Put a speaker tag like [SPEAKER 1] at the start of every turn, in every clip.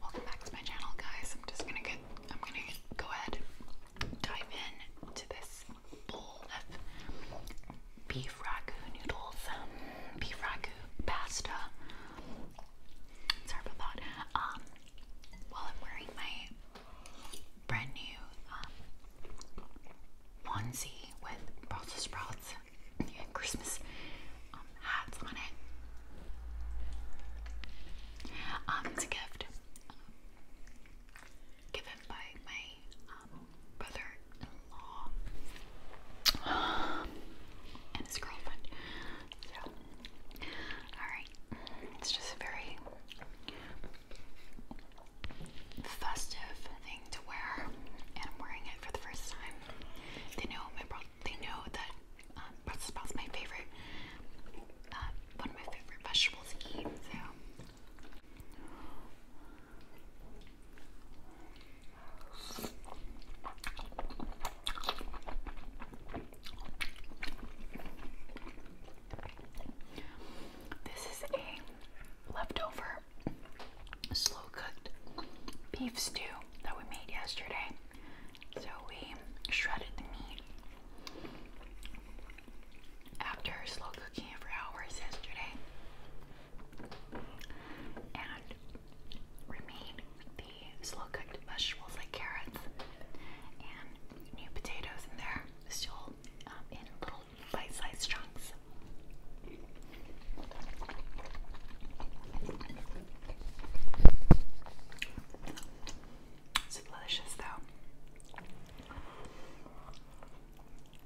[SPEAKER 1] Welcome back to my channel, guys. I'm just gonna get, I'm gonna go ahead and dive in to this bowl of beef ragu noodles, um, beef ragu pasta. Sorry about that. Um, while I'm wearing my brand new um, onesie with Brussels sprouts and Christmas um, hats on it. Um, it's a gift um, given by my um, brother-in-law and his girlfriend. So, all right, it's just a very festive thing to wear, and I'm wearing it for the first time. They know my brother they know that um, Brussels sprouts my favorite, uh, one of my favorite vegetables eat. So. This is a leftover slow cooked beef stew that we made yesterday. So we shredded the meat after slow cooking it for hours yesterday and remade the slow cooked vegetables like carrots and new potatoes in there, still um, in little bite sized chunks. It's delicious though.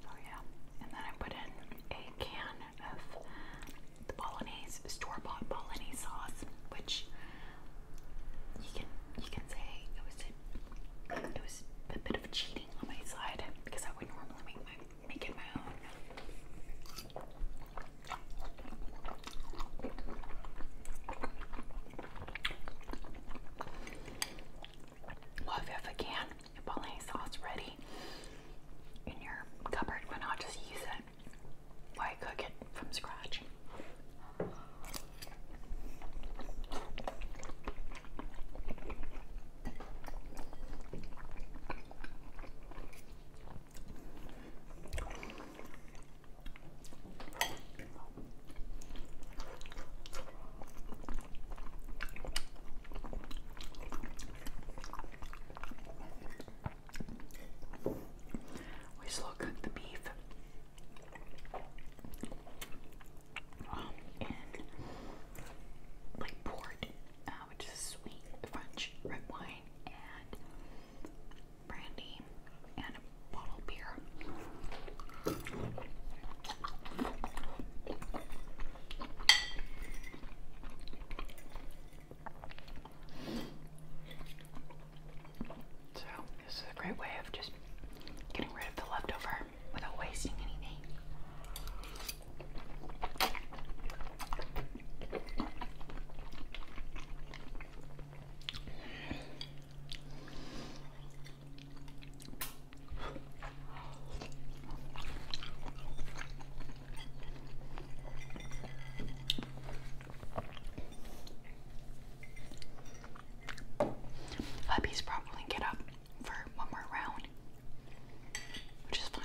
[SPEAKER 1] Oh yeah. And then I put in a can of the bolognese, store-bought bolognese sauce, which you can you can say it was it was a bit of cheating on my side because I would normally make it my own. Well, if you have a can of bolognese sauce ready in your cupboard, why not just use it? Why cook it from scratch? We slow cook the beef um, like port, uh, which is sweet French red wine and brandy and a bottle of beer. So, this is a great way of just getting rid of the leftover without wasting anything. Hubby's probably get up for one more round, which is fine.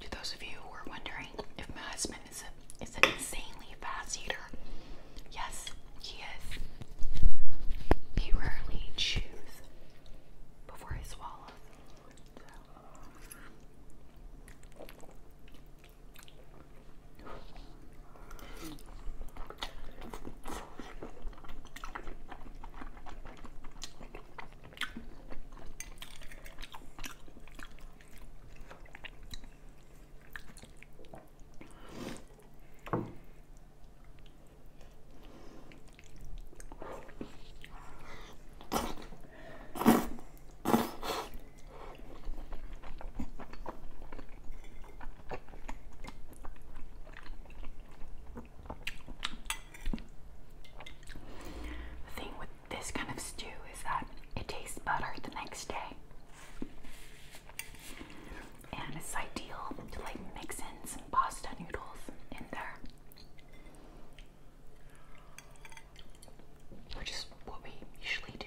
[SPEAKER 1] To those of you who are wondering if my husband is a is an insanely fast eater, yes, he is. He rarely chews before he swallows. The thing with this kind of stew is that it tastes better the next day. And it's ideal to like mix in some pasta noodles in there. Which is what we usually do.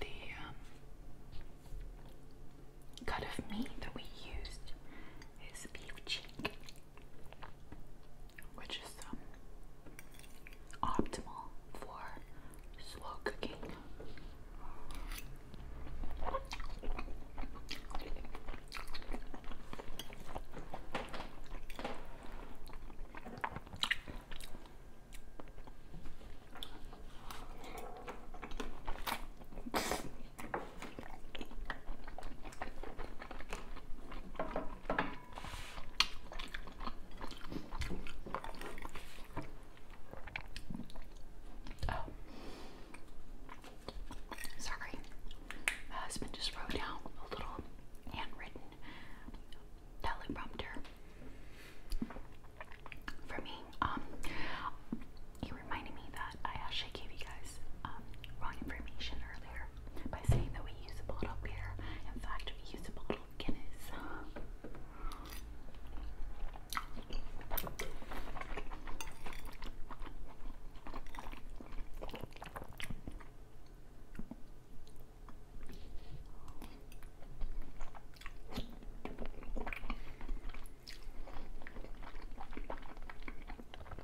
[SPEAKER 1] The um, cut of meat that we used is beef cheek which is um, optimal for slow cooking. Oh. sorry. husband just wrote down a little handwritten teleprompter for me. Um, he reminded me that I actually gave you guys um, wrong information earlier by saying that we use a bottle of beer. In fact, we use a bottle of Guinness.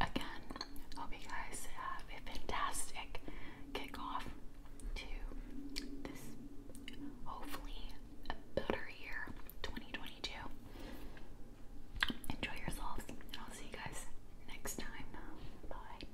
[SPEAKER 1] Again, hope you guys have a fantastic kickoff to this hopefully a better year 2022. Enjoy yourselves, and I'll see you guys next time. Bye.